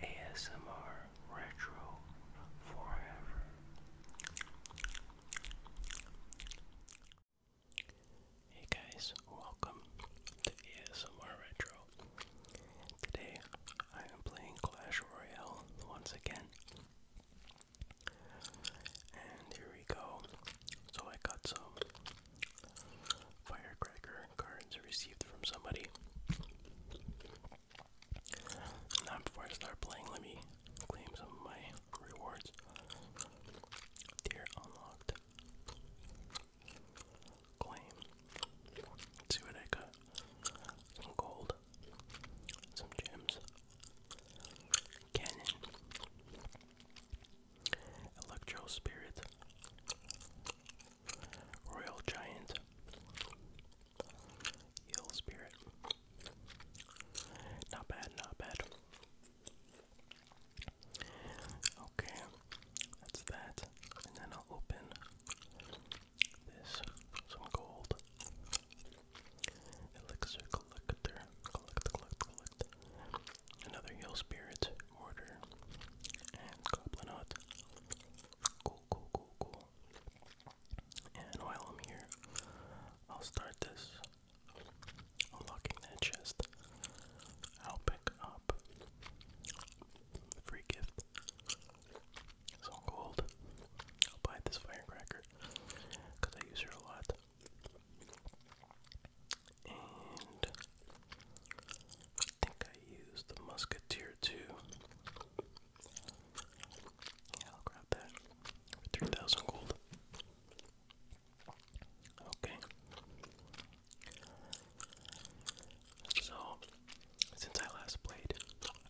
ASMR Retro Forever. Hey guys, welcome to ASMR Retro. Today I am playing Clash Royale once again. And here we go. So I got some firecracker cards received from somebody. Now, before I start playing, let me claim some of my rewards. Tier unlocked. Claim. see what I got. Some gold. Some gems. Cannon. Electro Spirit. Royal Giant, Hill Spirit. Not bad, not bad. Okay, that's that. And then I'll open this. Some gold. Elixir collector. Collect, collect, collect. Another Hill Spirit. Mortar and Goblin Cool, cool, cool, cool. And while I'm here, I'll start this unlocking that chest. I'll pick up free gift. It's all I'll buy this firecracker because I use her a lot. And I think I used the Musketeer too. Yeah, I'll grab that 3,000 gold. Okay. So, since I last played,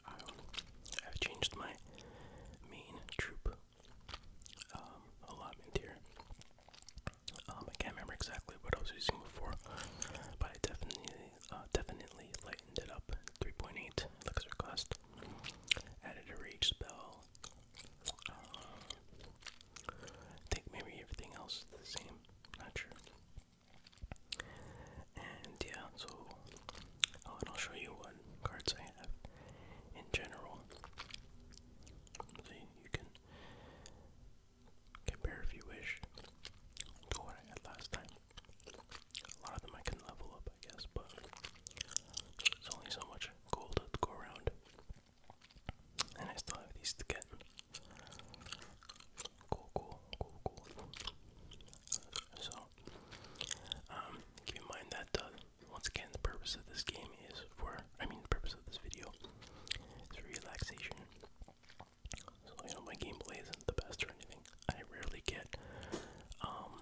um, I've changed my main troop um, allotment here. Um, I can't remember exactly what I was using before, but I definitely, uh, definitely lightened it up. 3.8 elixir cost. Added a rage spell. Uh, I think maybe everything else is the same. Not sure. And yeah, so oh, I'll show you what cards I have in general. So you can Compare if you wish to what I had last time. A lot of them I can level up, I guess, but there's only so much gold to go around. And I still have these to get. Cool, cool, cool, cool. So, um, keep in mind that, uh, once again, the purpose of this game is for, I mean, the purpose of this video is relaxation so you know my gameplay isn't the best or anything. I rarely get um,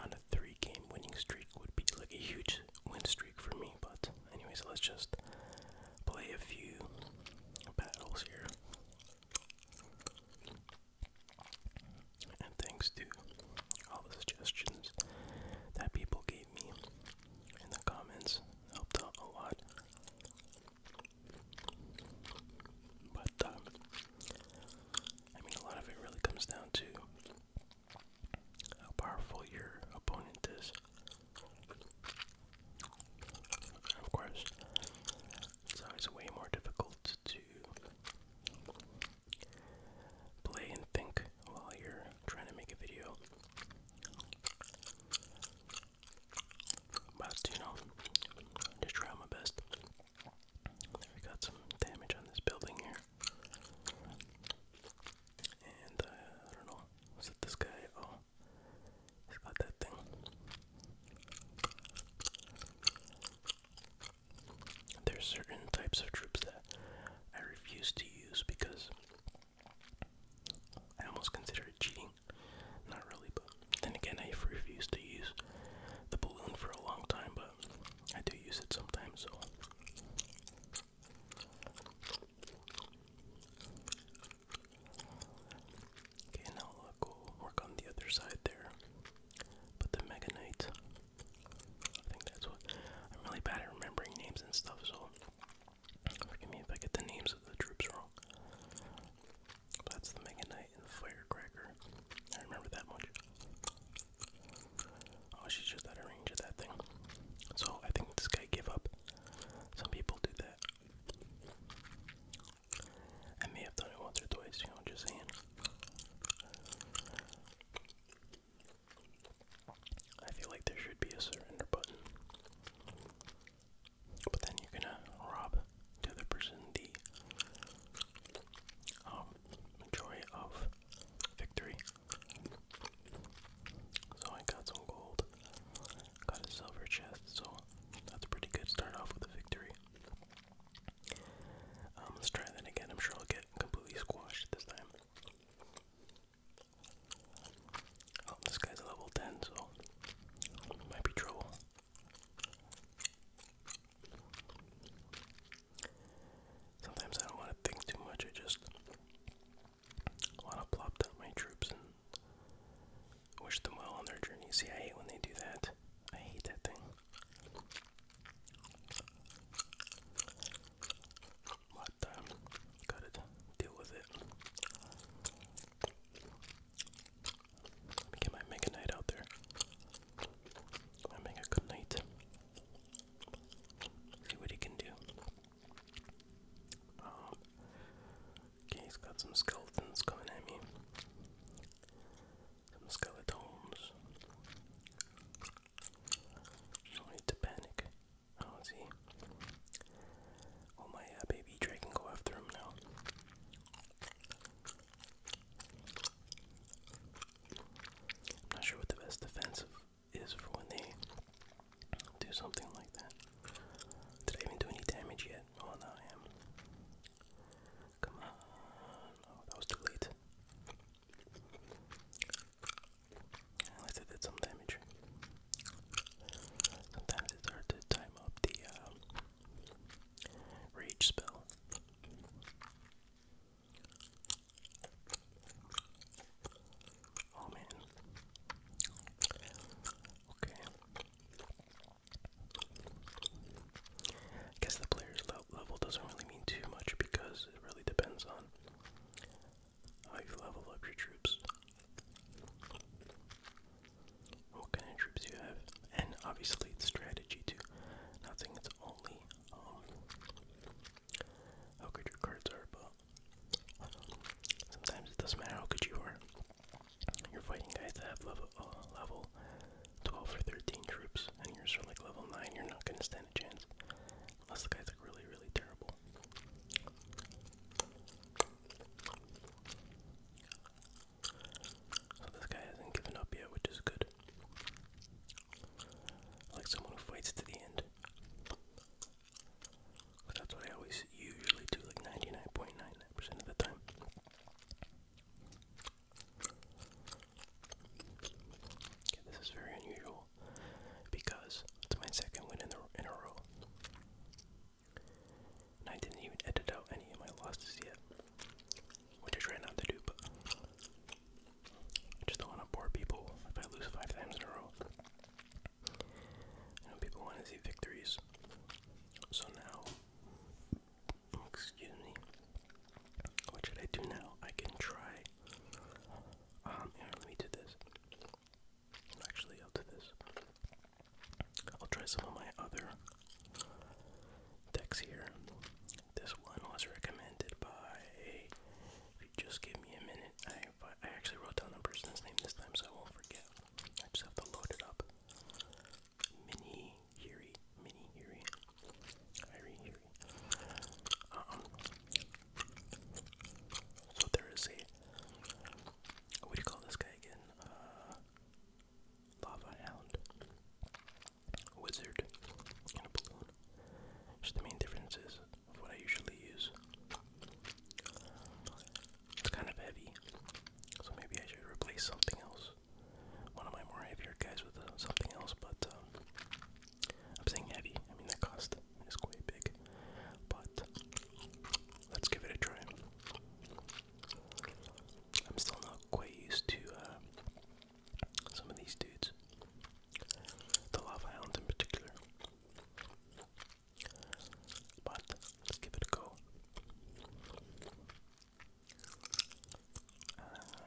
on a three game winning streak would be like a huge win streak for me, but anyways let's just play a few battles here. And thanks to all the suggestions that people gave me in the comments. Helped out a lot. But uh, I mean, a lot of it really comes down to how powerful your opponent is. of course, it's always way more difficult to play and think while you're trying to make a video but you know just try my best we got some damage on this building here and uh, I don't know was it this guy oh he's got that thing there's certain types of troops that I refuse to use because I almost consider it cheating. Not really, but then again, I refused to use the balloon for a long time, but I do use it sometimes, so. Okay, now look, we'll work on the other side there. But the Mega Knight, I think that's what. I'm really bad at remembering names and stuff, so Forgive me if I get the names of the troops wrong. That's the Mega Knight and the Firecracker. I remember that much. Oh, she's just out of range of that thing. So I think this guy gave up. Some people do that. I may have done it once or twice, you know, just saying. I feel like there should be a surrender button. But then you're gonna rob the other person the um, joy of victory. So I got some gold, got a silver chest, so that's pretty good. Start off with a victory. Um, let's try that again. I'm sure I'll get completely squashed this time. Oh, this guy's a level 10, so might be trouble. Sometimes I don't want to think too much, I just want to plop down my troops and wish them well on their journey. See, I hate when they do that. I hate that thing but gotta deal with it. Let me get my Mega Knight out there. My Mega Good Knight. See what he can do. Um, okay, he's got some skeletons coming at me. Some skeletons. No need to panic. Oh, see. Oh, my uh, baby Dre go after him now. I'm not sure what the best defense is for when they do something like that. Did I even do any damage yet? Oh, no, I am. Come on. Oh, that was too late. I it that's some damage. Sometimes it's hard to time up the uh, rage spell. Oh man. Okay. I guess the player's level doesn't really mean too much because it really depends on how you level up your troops, what kind of troops you have, and obviously it's strategy too. Not saying it's only um, how good your cards are, but sometimes it doesn't matter how good you are. You're fighting guys that have level uh, level 12 or 13 troops, and yours are like level 9, you're not going to stand a chance. Unless the guy's like really, really terrible. So this guy hasn't given up yet, which is good. like someone who fights to the end. that's what I always usually do, like 99.99% of the time. this is very unusual because it's my second win in, a row. And I didn't even edit out any of my losses yet, which I try not to do, but I just don't want to bore people if I lose five times in a row. people want to see victories, so now. Excuse me. What should I do now? I can try um, let me do this. Actually, I'll do this. I'll try some of my other decks here. This one was recommended by. If just give me a minute, I I actually wrote down the person's name this time, so I won't forget. I just have to load it up. Mini Hiri, Mini Hiri, Hiri um, so there is a what do you call this guy again? Uh, lava hound, wizard, and a balloon. Just the main differences of what I usually use. It's kind of heavy, so maybe I should replace something else. One of my more heavier guys with uh, something else, but um, I'm saying heavy. I mean, the cost is quite big. But let's give it a try. I'm still not quite used to uh, some of these dudes. The Lava Hound in particular. But let's give it a go. Um,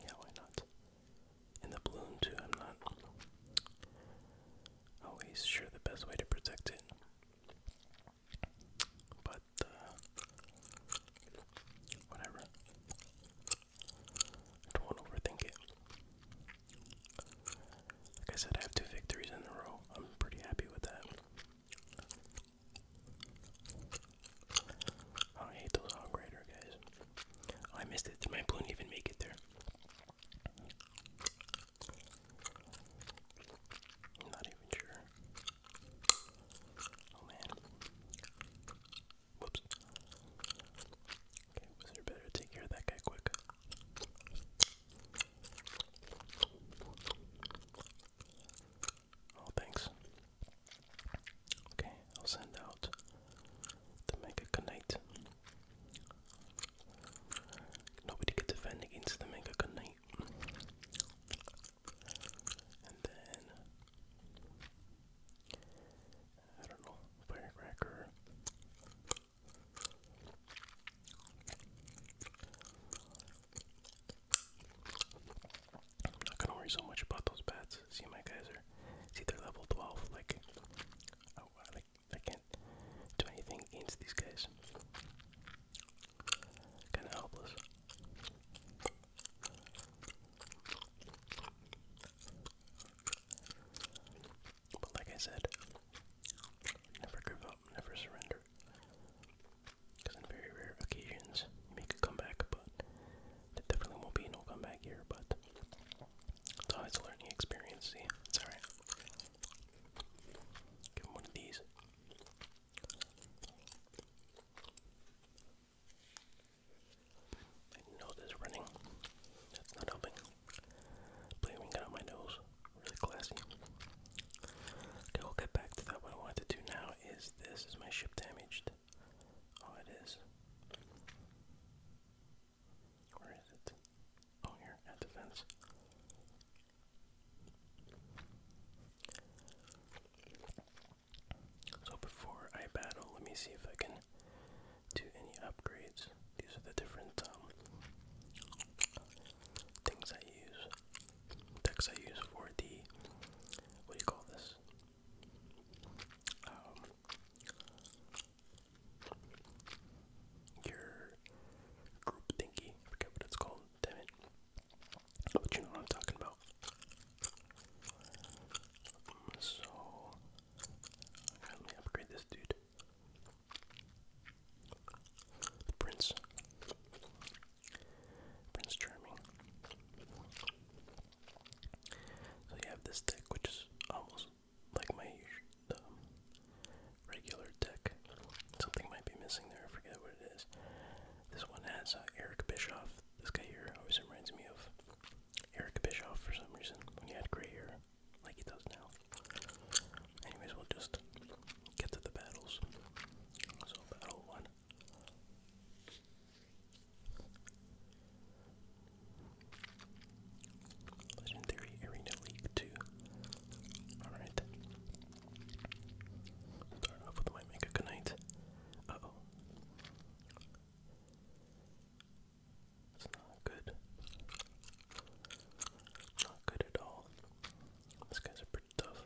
yeah, why not? And the balloon too, I'm not always sure the best way to protect it. But uh, whatever. don't overthink it. Like I said, I have two victories in a row. I'm pretty happy with that. I hate those hog rider guys. I missed it. Did My balloon even make it there. not even sure. Oh man. Whoops. Okay, better take care of that guy quick. Oh, thanks. Okay, I'll send out the Mega Knight. Nobody can defend against the Mega Knight. And then I don't know, firecracker. I'm not gonna worry so much about those bats. See, my guys are, see, they're level 12. Like, oh, I, like, I can't do anything against these guys. Kind of helpless. But like I said, never give up, never surrender. Because on very rare occasions, you make a comeback, but there definitely won't be no comeback here, but it's always a learning experience. See, it's alright. Give him one of these. nose is running. That's not helping. Blaming it on my nose. Really classy. Okay, we'll get back to that. What I wanted to do now is this is my ship damaged. Oh, it is. Where is it? Oh, here, at the fence. So before I battle, let me see if I can do any upgrades. These are the different um, things I use, decks I use for the, what do you call this? Um, your group thingy. forget what it's called. Damn it! But you know what I'm talking about. So let me upgrade this dude. Prince. Prince Charming. So you have this deck, which is almost like my regular deck. Something might be missing there. I forget what it is. This one has uh, Eric Bischoff. This guy here always reminds me of Eric Bischoff for some reason when he had gray hair, like he does now. Anyways, we'll just get to the battles. So, battle one Legendary Arena League 2. Alright. Start off with my Mega Knight. Uh oh. It's not good. Not good at all. This guy's are pretty tough.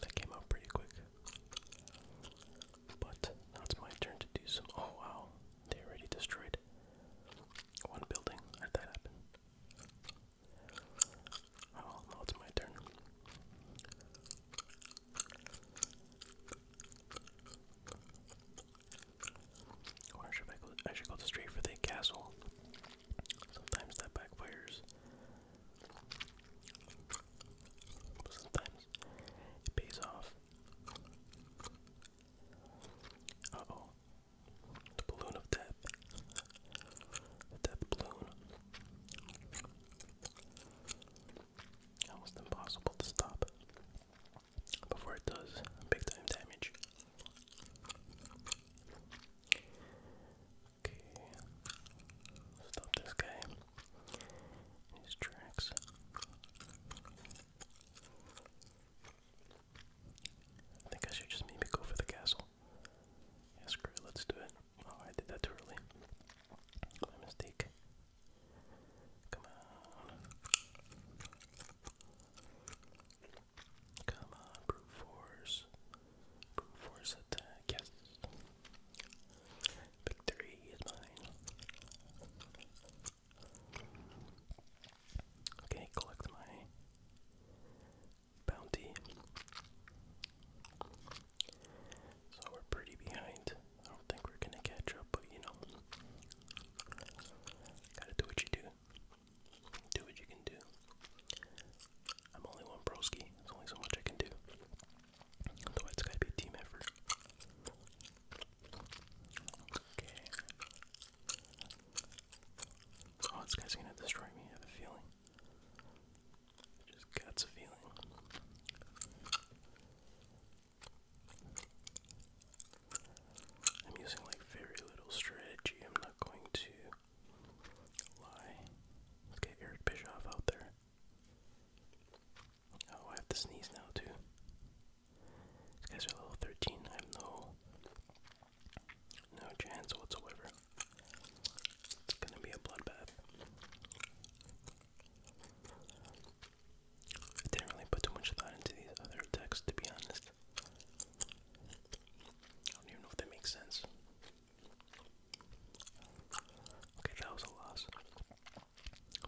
That came out pretty quick. But now it's my turn to do some. Oh wow, they already destroyed one building. How'd that happen? Oh, now it's my turn. Or should I go? I should go straight for the castle. Sometimes that backfires. Sometimes it pays off. Uh oh. The balloon of death. The death balloon. Almost impossible to stop before it does big time damage. Okay. Stop this guy. his tracks. I think I should just maybe go for the castle. Yeah, screw it, let's do it. Oh, I did that too early. My mistake. Come on. Come on, brute force brute force attack, yes. Victory is mine. Okay, collect my bounty. So we're pretty behind. I don't think we're gonna catch up, but you know, gotta do what you do. Do what you can do. I'm only one broski. There's only so much I can do. So it's gotta be a team effort. Okay. Oh, this guy's gonna destroy me, I have a feeling. Just guts a feeling. I'm using like very little strategy. I'm not going to Let's get Eric Bischoff out there. Oh, I have to sneeze now too. These guys are level 13. I have no, no chance whatsoever. It's gonna be a bloodbath. I didn't really put too much thought into these other attacks, to be honest. I don't even know if that makes sense. Okay, that was a loss.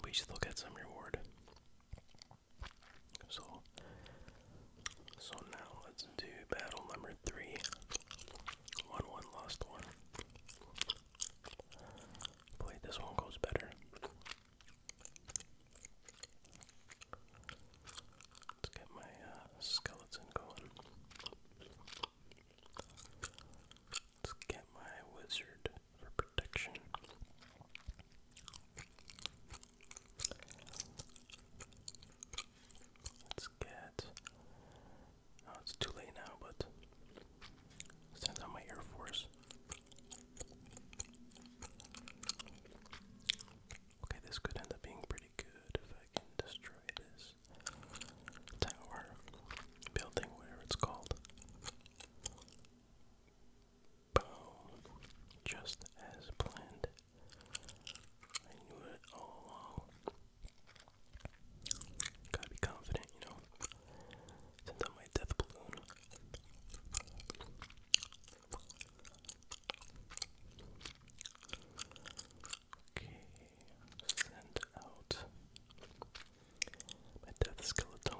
We still get some reward. So, so now let's do battle number three. One one lost one. Boy, this one goes better. Let's get my uh, skeleton going. Let's get my wizard for protection. Let's get. Oh, it's too late now, but send out my Air Force. Okay, this could end up being pretty good if I can destroy this this tower building, whatever it's called. Boom. Just as planned. I knew it all along. Gotta be confident, you know. Send out my death balloon. Okay, send out my death skeleton.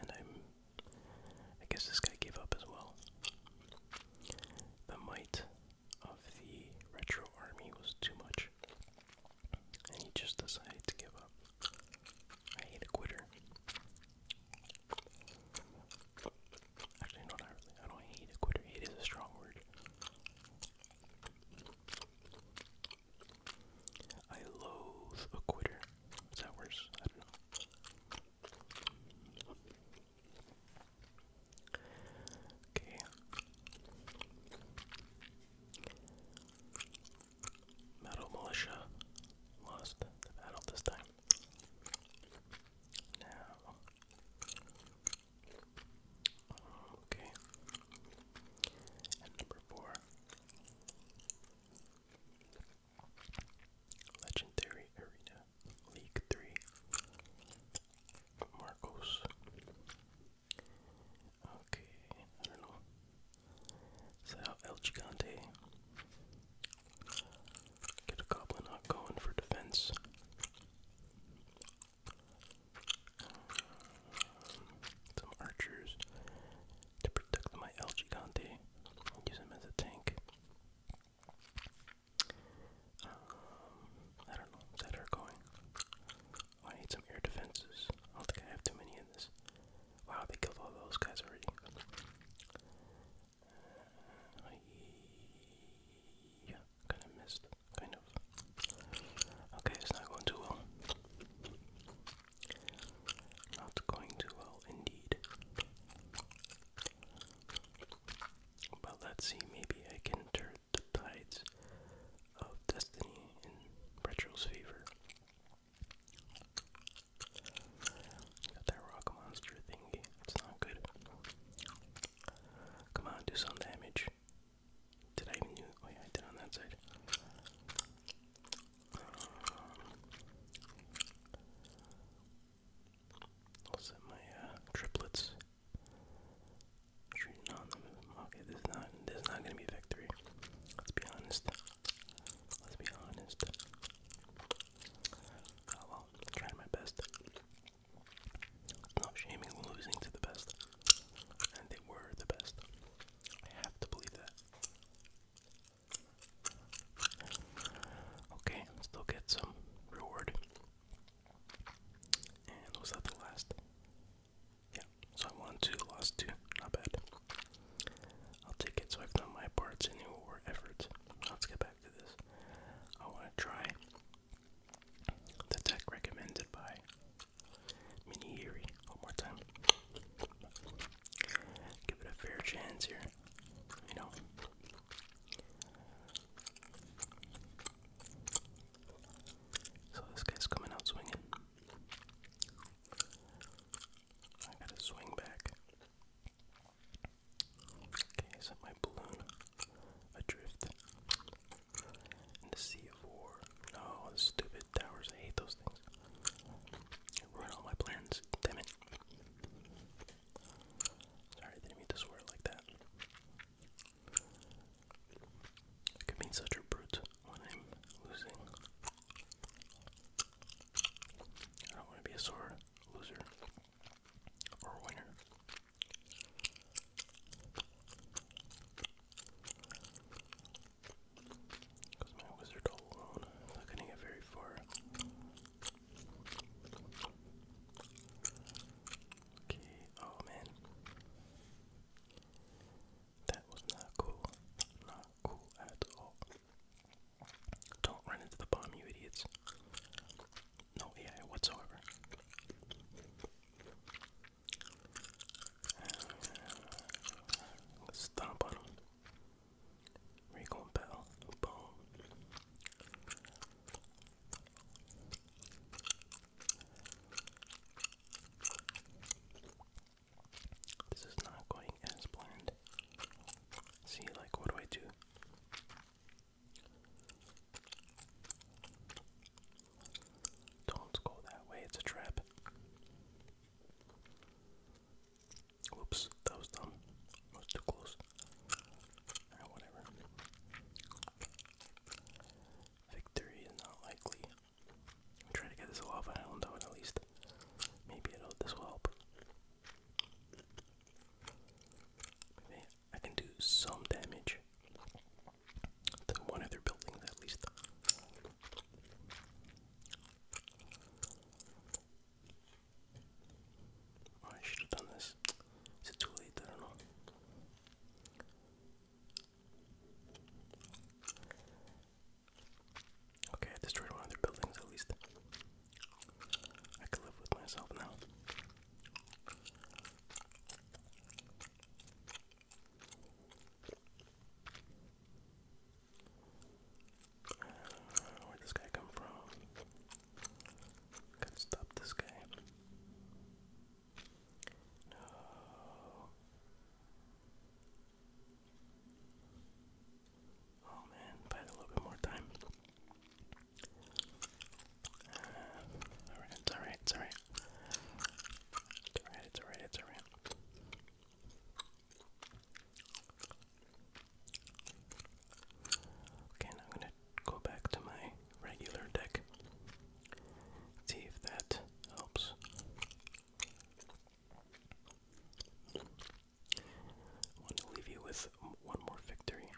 And I'm I guess this guy gave up as well. The might of the retro army was too much. And he just decided to give up. I hate a quitter. Actually, no, not really. I don't hate a quitter. Hate a strong word. I loathe a quitter. Is that worse? I don't know. Okay. Metal militia lost the battle this time. Now Okay. And number four. Legendary Arena League 3 Marcos. Okay, I don't know. So El Gigante. Get a goblin not going for defense. Some archers to protect my El Gigante. Use him as a tank. Um, I don't know. Is that her going? Oh, I need some air defenses. I don't think I have too many in this. Wow, they killed all those guys already yeah, kind of missed, kind of. Okay, it's not going too well. Not going too well indeed. But let's see, maybe I can turn the tides of destiny in Retro's favor. that rock monster thingy. It's not good. Come on, do some damage. Did I even Oh yeah, I did on that side. Um, I'll set my uh, triplets. Shooting on them. Okay, this is not this is not gonna be victory. Let's be honest. Let's be honest. I'm oh, trying my best not shaming losing to the best. And they were the best. I have to believe that. Okay, still get some reward. And was that the last? Yeah, so I won two, lost two. Not bad. I'll take it, so I've done my parts in your effort. Let's get back back to this. I want to try the tech recommended by Minihiri one more time. Give it a fair chance here, you know. So this guy's coming out swinging. I gotta swing back. Okay, I sent my balloon adrift. In the Sea of War. No, stupid towers. I hate those things. Ruin all my plans. Damn it. Sorry, didn't mean to swear like that. could be such a brute when I'm losing. I don't want to be a sore loser or winner. my wizard alone, I'm not gonna get very far. Okay, oh man. That was not cool. Not cool at all. Don't run into the bomb, you idiots no AI whatsoever. Uh, Stomp on him. Recon Bell. This is not going as planned. See, like, what do I do? Don't go that way, it's a trap. Whoops, that was dumb. was too close. Ah, whatever. Victory is not likely. I'm trying to get this lava island out at least. Maybe it'll, this will help. I can do some damage to one of their at least. Oh, I should have done this. Is it too late? I don't know. Okay, I destroyed one of their at least. I can live with myself now. where'd this guy come from? Gotta stop this guy. Oh man, if a little bit more time. Uh, it's alright, it's alright. It's alright, it's alright, it's alright. Okay, now I'm gonna go back to my regular deck. See if that helps. I want to leave you with one more victory.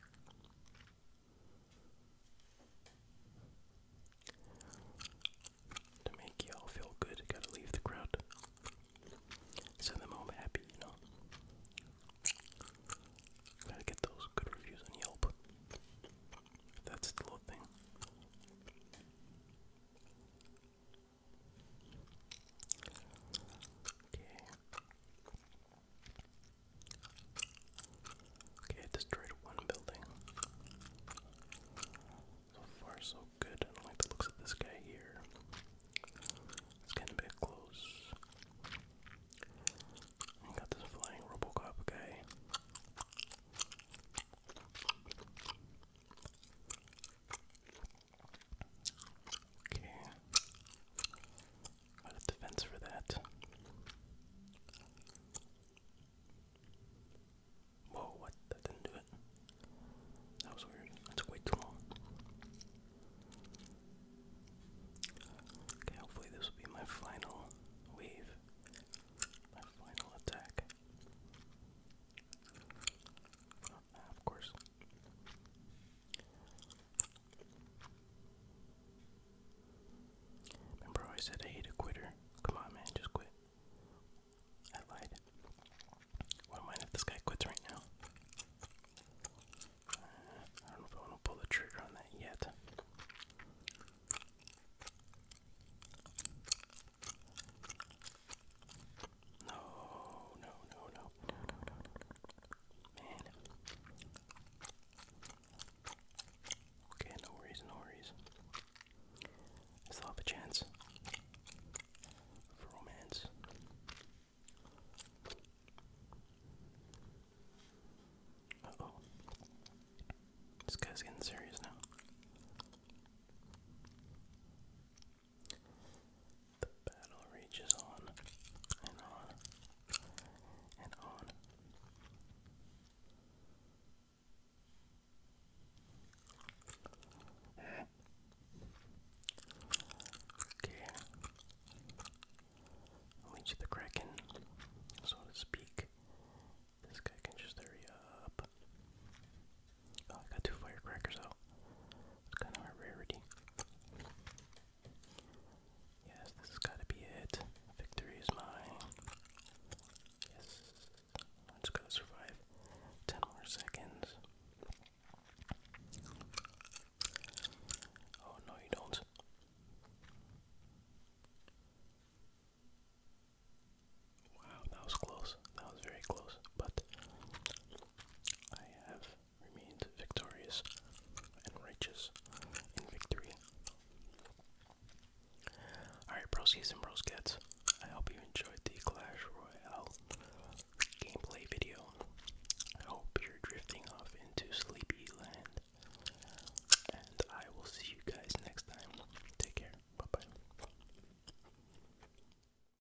To make y'all feel good, gotta leave the crowd. Send them home happy, you know. Gotta get those good reviews on Yelp. That's the little thing. Okay. Okay, destroyed one building. So far, so good. I do looks of this guy here. It's getting a bit close. We got this flying Robocop guy. Okay. Got a defense for that. Whoa, what? That didn't do it. That was weird. That took way too long. Okay, hopefully this will be my final wave. My final attack. of course. Remember, I said I hate a quitter. Come on, man, just quit. I lied. What am I if this guy quits right now? Uh, I don't know if I want to pull the trigger on that yet. No, no, no, no, Man. Okay, no worries, no worries. still have a chance for romance. oh. This guy's getting serious now. The battle reaches on and on and on. Okay. Leech the Kraken, so to speak. This guy can just hurry up. Oh, I got two firecrackers out. It's kind of a rarity. Yes, this is got to be it. Victory is mine. Yes. I'm just survive ten more seconds. Oh no, you don't. Wow, that was close. That was very close, but I have remained victorious and righteous in victory. Alright, broskies and broskets, I hope you enjoyed the Clash Royale gameplay video. I hope you're drifting off into sleepy land. And I will see you guys next time. Take care. Bye bye.